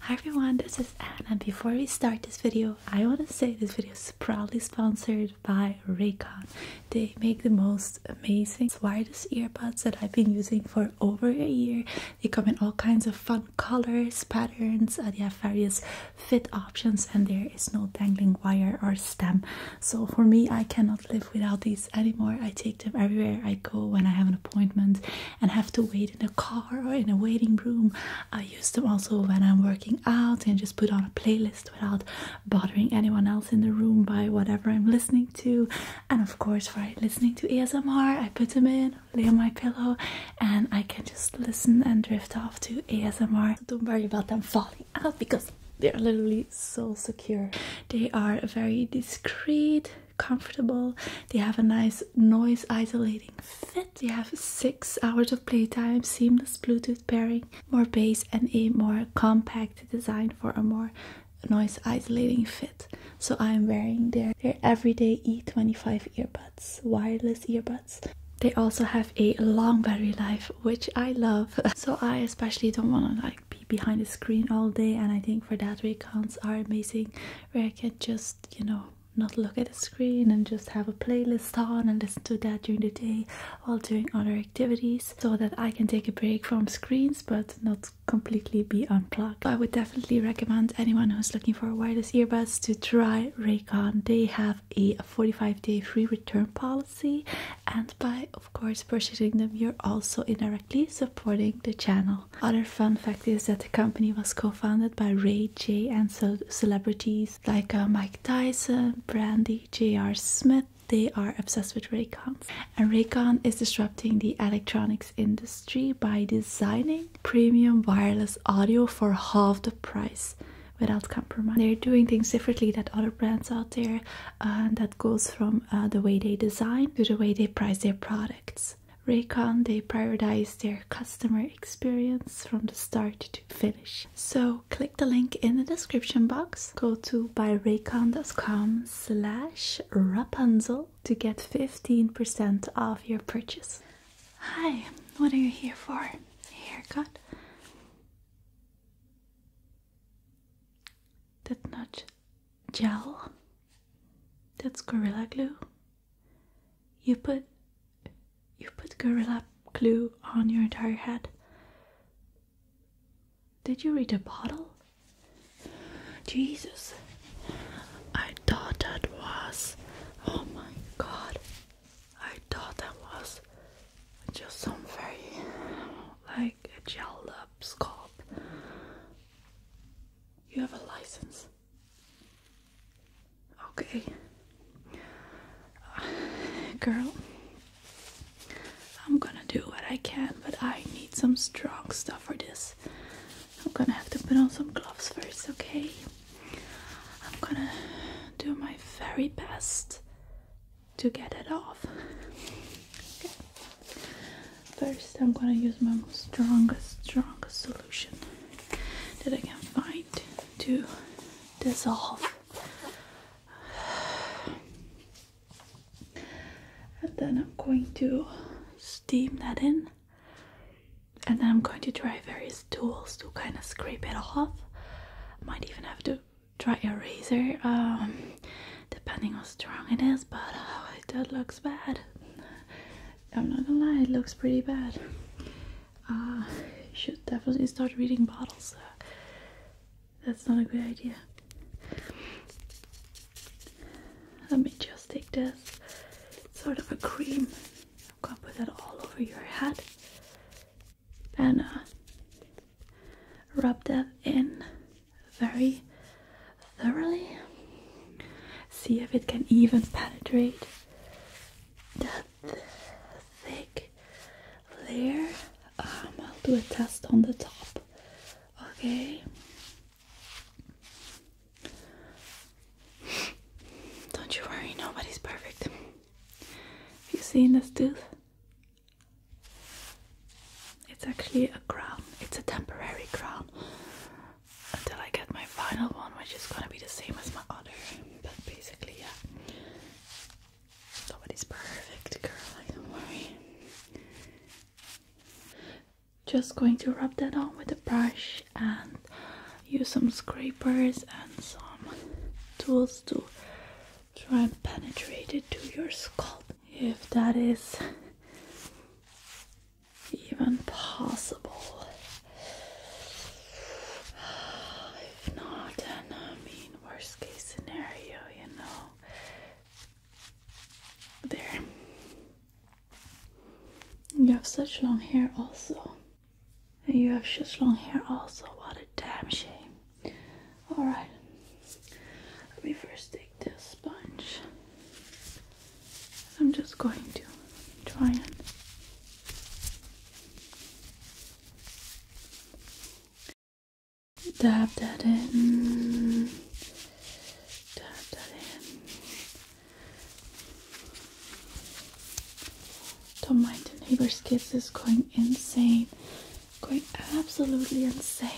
Hi everyone, this is Anne and before we start this video, I want to say this video is proudly sponsored by Raycon. They make the most amazing wireless earbuds that I've been using for over a year. They come in all kinds of fun colors, patterns, uh, they have various fit options and there is no dangling wire or stem. So for me, I cannot live without these anymore. I take them everywhere I go when I have an appointment and have to wait in a car or in a waiting room. I use them also when I'm working out and just put on a playlist without bothering anyone else in the room by whatever I'm listening to. And of course, for listening to ASMR, I put them in, lay on my pillow, and I can just listen and drift off to ASMR. don't worry about them falling out because they're literally so secure. They are very discreet comfortable. They have a nice noise isolating fit. They have six hours of playtime, seamless Bluetooth pairing, more bass, and a more compact design for a more noise isolating fit. So I'm wearing their, their everyday E25 earbuds, wireless earbuds. They also have a long battery life, which I love. So I especially don't want to like be behind the screen all day. And I think for that reacons are amazing where I can just, you know, not look at the screen and just have a playlist on and listen to that during the day while doing other activities so that I can take a break from screens but not completely be unplugged. I would definitely recommend anyone who's looking for wireless earbuds to try Raycon. They have a 45 day free return policy and by of course purchasing them you're also indirectly supporting the channel. Other fun fact is that the company was co-founded by Ray J and so celebrities like uh, Mike Tyson, Brandy, J.R. Smith. They are obsessed with Raycons. And Raycon is disrupting the electronics industry by designing premium wireless audio for half the price without compromise. They're doing things differently that other brands out there, and uh, that goes from uh, the way they design to the way they price their products. Raycon they prioritize their customer experience from the start to finish. So click the link in the description box. Go to buyraycon.com slash Rapunzel to get 15% off your purchase. Hi, what are you here for? haircut? That not gel? That's Gorilla Glue. You put you put gorilla glue on your entire head. Did you read the bottle? Jesus. I thought that was oh my god. I thought that was just some very like a gelled up scalp. You have a license. Okay. girl, I'm gonna do what I can, but I need some strong stuff for this. I'm gonna have to put on some gloves first, okay? I'm gonna do my very best to get it off. First, I'm gonna use my strongest, strongest solution that I can find to dissolve. And then I'm going to steam that in. And then I'm going to try various tools to kind of scrape it off. I might even have to try a razor, um, depending how strong it is, but oh, that looks bad. I'm not gonna lie, it looks pretty bad. Uh, you should definitely start reading bottles. that's not a good idea. Let me just take this sort of a cream. I'm gonna put that all over your head and uh, rub that in very thoroughly. See if it can even penetrate that thick layer. Um, I'll do a test on the top. Okay. Don't you worry, nobody's perfect. Have you seen this tooth? It's actually a crown, it's a temporary crown until I get my final one, which is gonna be the same as my other. But basically, yeah, nobody's perfect, girl. don't worry. Just going to rub that on with a brush and use some scrapers and some tools to try and penetrate it to your scalp. If that is even possible? If not, I mean, worst case scenario, you know. There. You have such long hair, also. You have such long hair, also. What a damn shame. Alright, let me first take this sponge. I'm just going to try and dab that in, dab that in. Don't mind the neighbor's kids is going insane, going absolutely insane.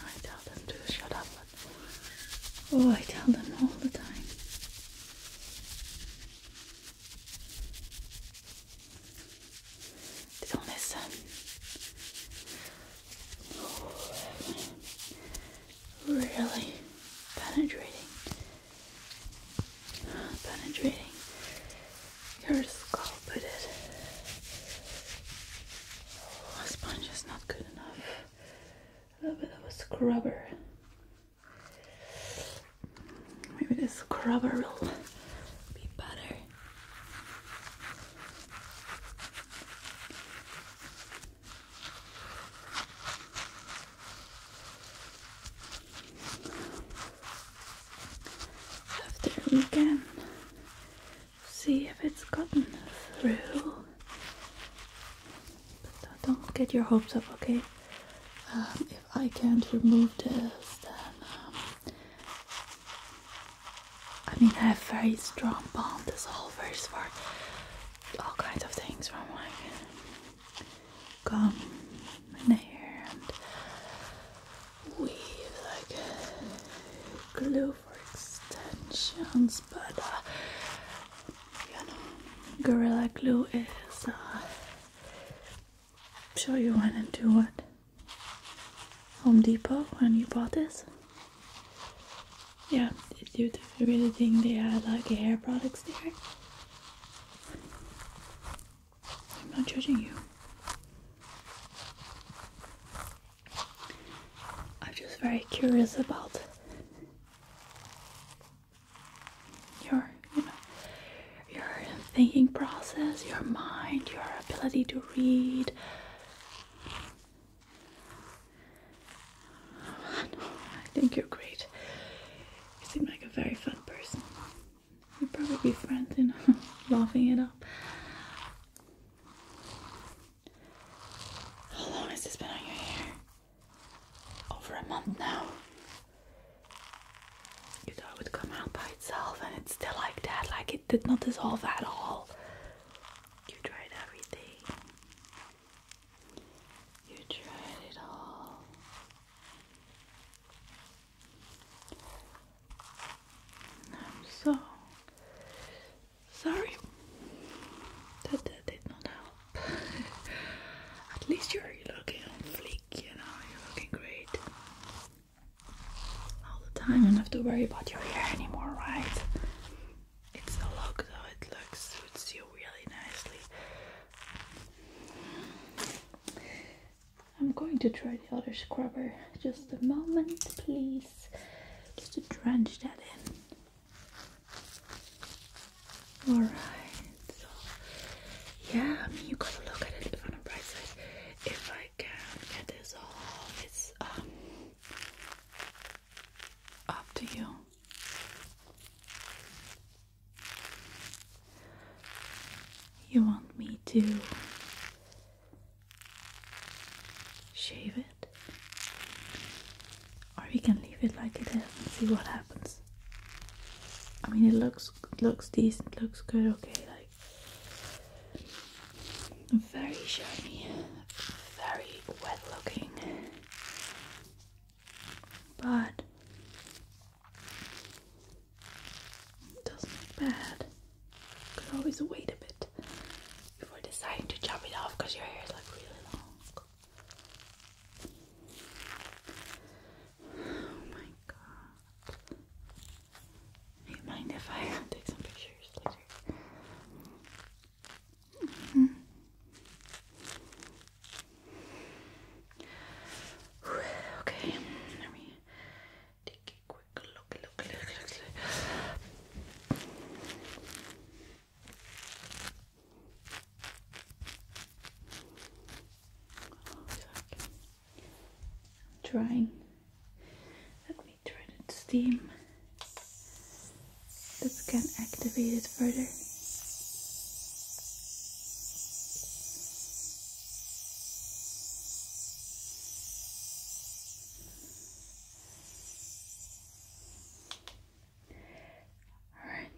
I tell them to shut up, oh, I tell them all the time. don't listen. Oh, really penetrating, penetrating your skull, but it a oh, sponge is not good enough. A little bit of a scrubber. Maybe this scrubber will be better. After we see if it's gotten through. But don't get your hopes up, okay? Um, if I can't remove this, then um, I mean I have very strong palm dissolvers for all kinds of things from like gum hair and weave like glue for extensions, but uh, you know, Gorilla Glue is. Uh, sure you went into what? Home Depot when you bought this? Yeah, did you really think they had like hair products there? I'm not judging you. I'm just very curious about your, you know, your thinking process, your mind, your ability to read. I think you're great. You seem like a very fun person. We'd probably be friends, you know, laughing it up. How long has this been on your hair? Over a month now. You thought it would come out by itself, and it's still like that, like it did not dissolve at all. You tried everything. You tried it all. I'm so Sorry, that, that did not help. At least you're looking on fleek, you know, you're looking great all the time. You don't have to worry about your hair anymore, right? It's the look, though, it looks suits you really nicely. I'm going to try the other scrubber. Just a moment, please just to drench that in. Alright, so yeah, I mean, you gotta look at it on a bright side. If I can get this off, it's um, up to you. You want me to shave it, or we can leave it like it is and see what happens. I mean, it looks it looks decent, looks good, okay, like very shiny, very wet looking, but it doesn't look bad. You could always wait a bit before deciding to chop it off because your hair is like really long. Oh my god. mind if I take some pictures later? Mm-hmm. Okay, let me take I'm trying. Let me try the steam that can activate it further. Alright.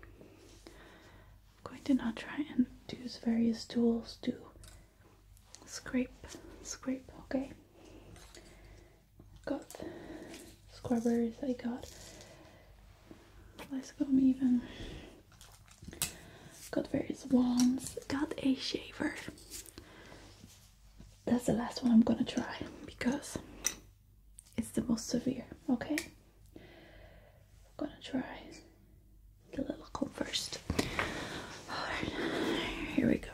I'm going to now try and use various tools to scrape, scrape, okay? Got scrubbers, I got Lysicum even, got various wands, got a shaver that's the last one I'm gonna try because it's the most severe okay I'm gonna try the little comb first here we go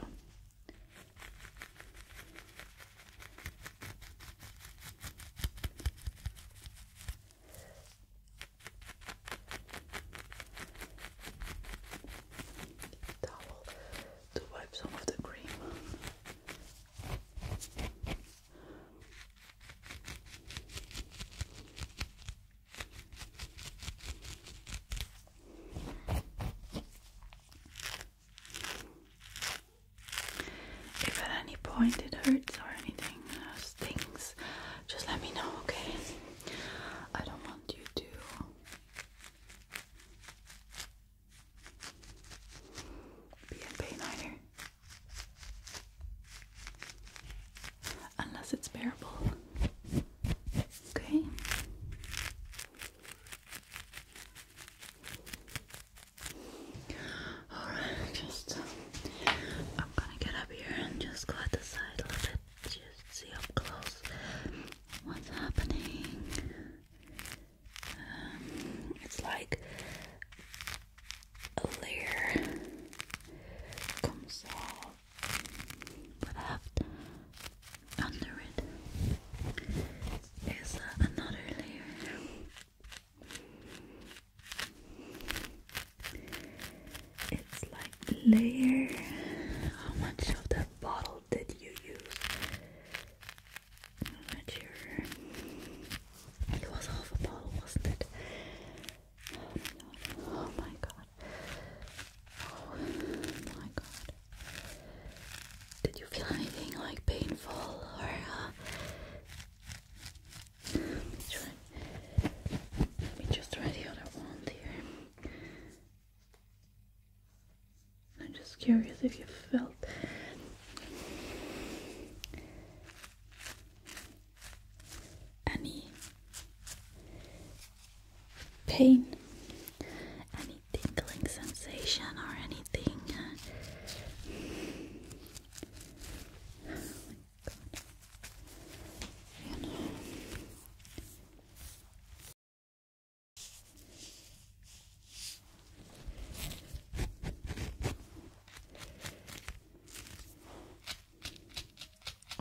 to wipe some of the cream. If at any point it hurts or anything uh, stings, just let me know, okay? I don't want you to BNP9er. Unless it's bearable. Okay. Alright, just um, I'm gonna get up here and just go at the side a little bit, just see up close what's happening? Um, it's like a layer comes off, but after under it is uh, another layer. It's like layer. How much of that bottle? did you use? I'm not sure. It was half a bottle, wasn't it? Oh, my god. Oh my god. Did you feel anything like painful uh, let me try let me just try the other one here. I'm just curious if you felt any pain, any tickling sensation, or anything. Oh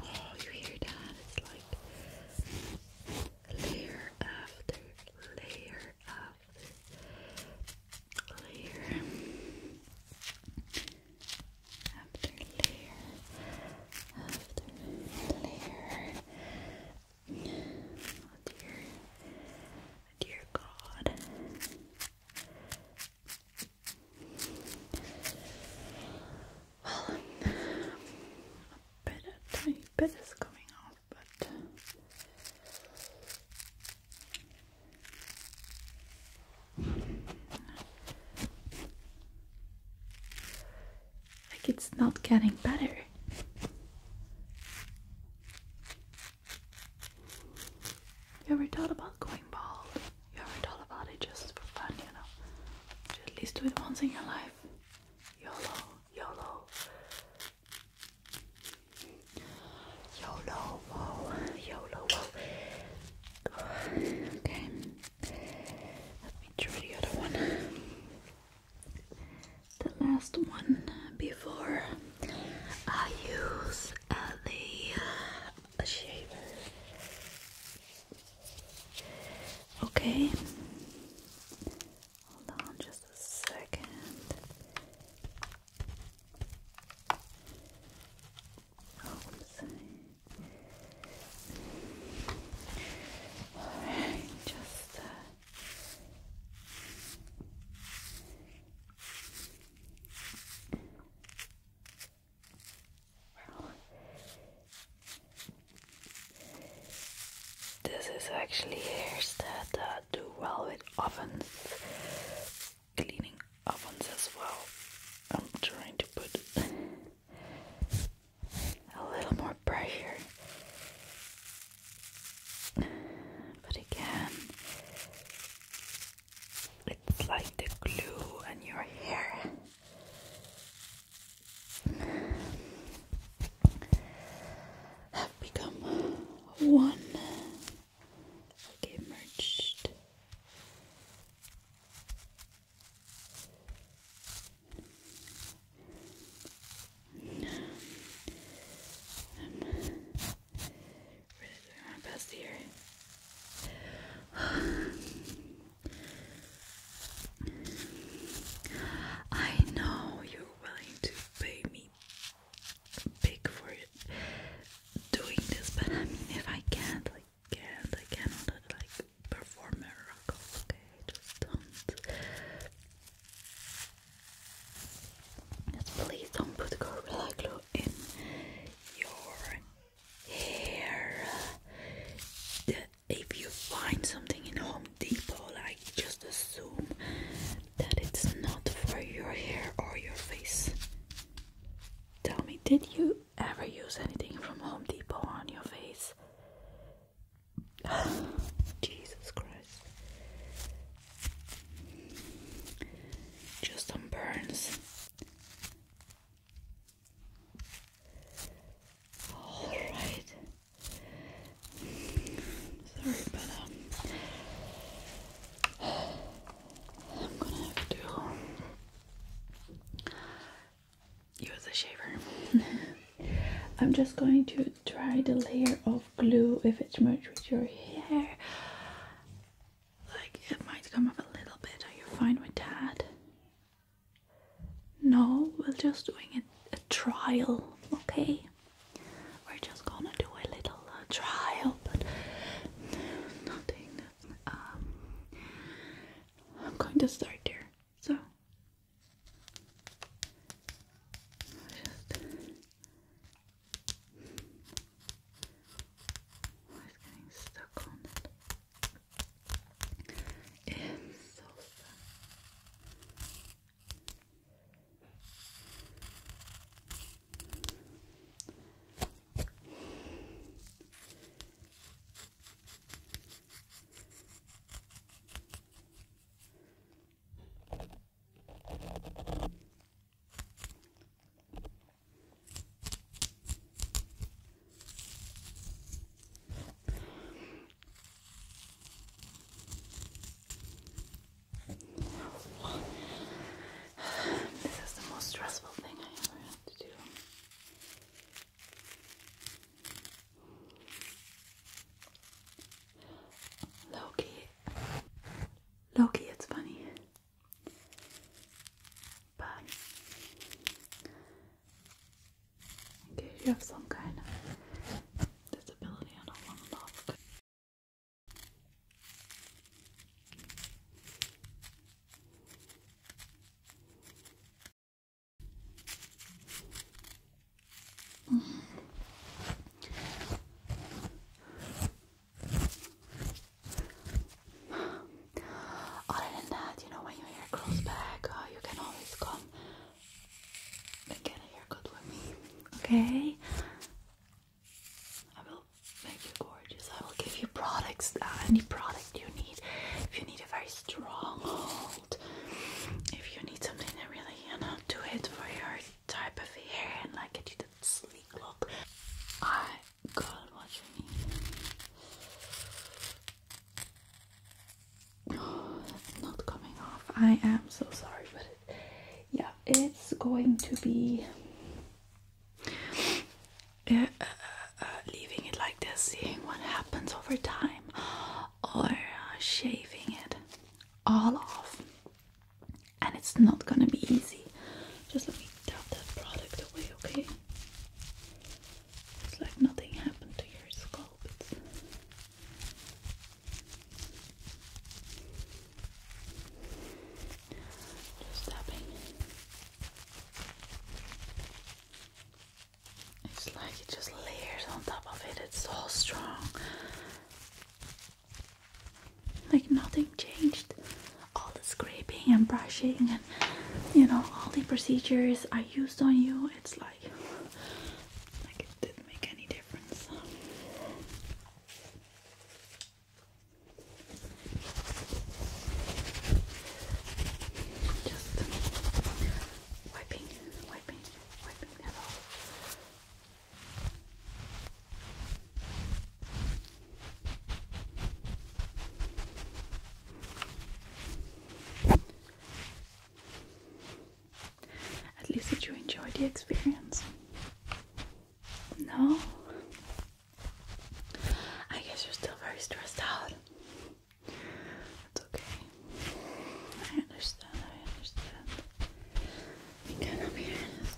Oh, you hear that? It's like layer after layer after layer after layer after layer Oh dear. Dear God. Well, a bit, a tiny bit is coming off, but like it's not getting better. You ever thought about going bald? You ever thought about it just for fun, you know? at least do it once in your life. YOLO, YOLO. YOLO, whoa, YOLO, whoa. Okay. Let me try the other one the last one before I use uh, the shaver. Okay, hold on just a second well, this is actually hairs that do well with ovens, cleaning ovens as well. I'm trying to put a little more pressure. But again, it's like the glue on your hair. Have become one. Okay, merged. I'm doing my best here. I know you're willing to pay me big for doing this, but I mean, if I can't, like, can't, I cannot, like, perform miracles, okay? Just don't. Just please don't put Gorilla Glue in your hair. if you find something in Home Depot, I just assume that it's not for your hair or your face. Tell me, did you ever use anything from Home Depot on your face? Jesus Christ. Just burns. Alright. Sorry, but I'm gonna have to use a shaver. I'm just going to try the layer of glue if it's much with your hair. Like it might come up a little bit. Are you fine with that? No, we're just doing a, a trial, okay? We're just gonna do a little uh, trial, but nothing. Um, I'm going to start there. So just getting stuck on it. It's so fun. This is the most stressful thing I ever had to do. Loki. Loki, it's funny. But in case you have some kind of disability, I don't want to laugh. Other than that, you know, when your hair grows back, uh, you can always come get a haircut with me, okay? I will make you gorgeous. I will give you products, uh, any product you need. If you need a very strong, if you need something that really, you know, do it for your type of hair and like get you that sleek look. I got what you need. not coming off. I am so sorry, but yeah, it's going to be. Yeah, uh, uh, uh, leaving it like this, seeing what happens over time or shaving it all off, and it's not gonna be easy. Just let me dab that product away, okay? It's like nothing happened to your scalp. just tapping. It's like it just layers on top of it. It's so strong. Like nothing changed. All the scraping and brushing and you know all the procedures I used on you. It's like like it didn't make any difference. Just wiping, wiping, wiping that off. At least did you enjoy the experience? No? I guess you're still very stressed out. It's okay. I understand, I understand. We cannot be honest.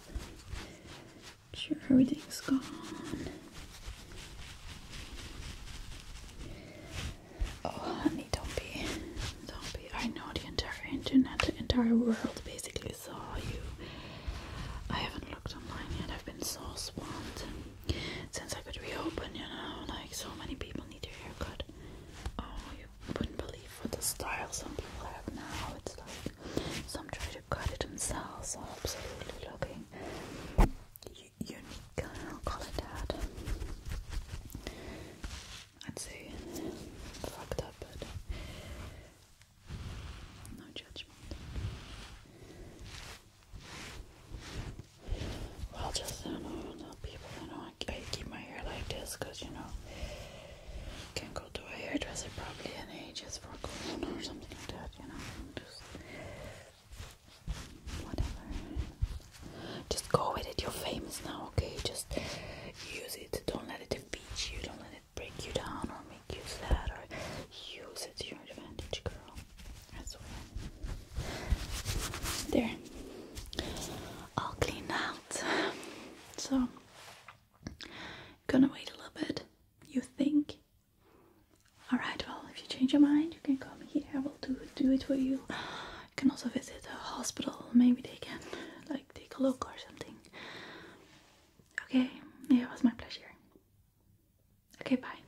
sure everything's gone. Oh honey, don't be don't be I know the entire internet, the entire world basically saw you. I haven't looked online yet, I've been so swamped since I could reopen, you know, like so many people need a haircut. Oh, you wouldn't believe what the style some people have now. It's like some try to cut it themselves. Absolutely looking unique. I'll call it I'd say fucked up, but no judgment. Well, just I don't know people. I I, keep my hair like this because you know can not go to a hairdresser probably in ages for a going or something like that. You know, just whatever. Just go with it. You're famous now, okay? Just use it. Don't let it defeat you. Don't let it break you down or make you sad. Or use it to your advantage, girl. I swear. There. All cleaned out. So, gonna wait a little bit. You think? Alright, well, if you change your mind, you can come here. I will do, do it for you. You can also visit the hospital. Maybe they can, like, take a look or something. Okay, yeah, it was my pleasure. Okay, bye.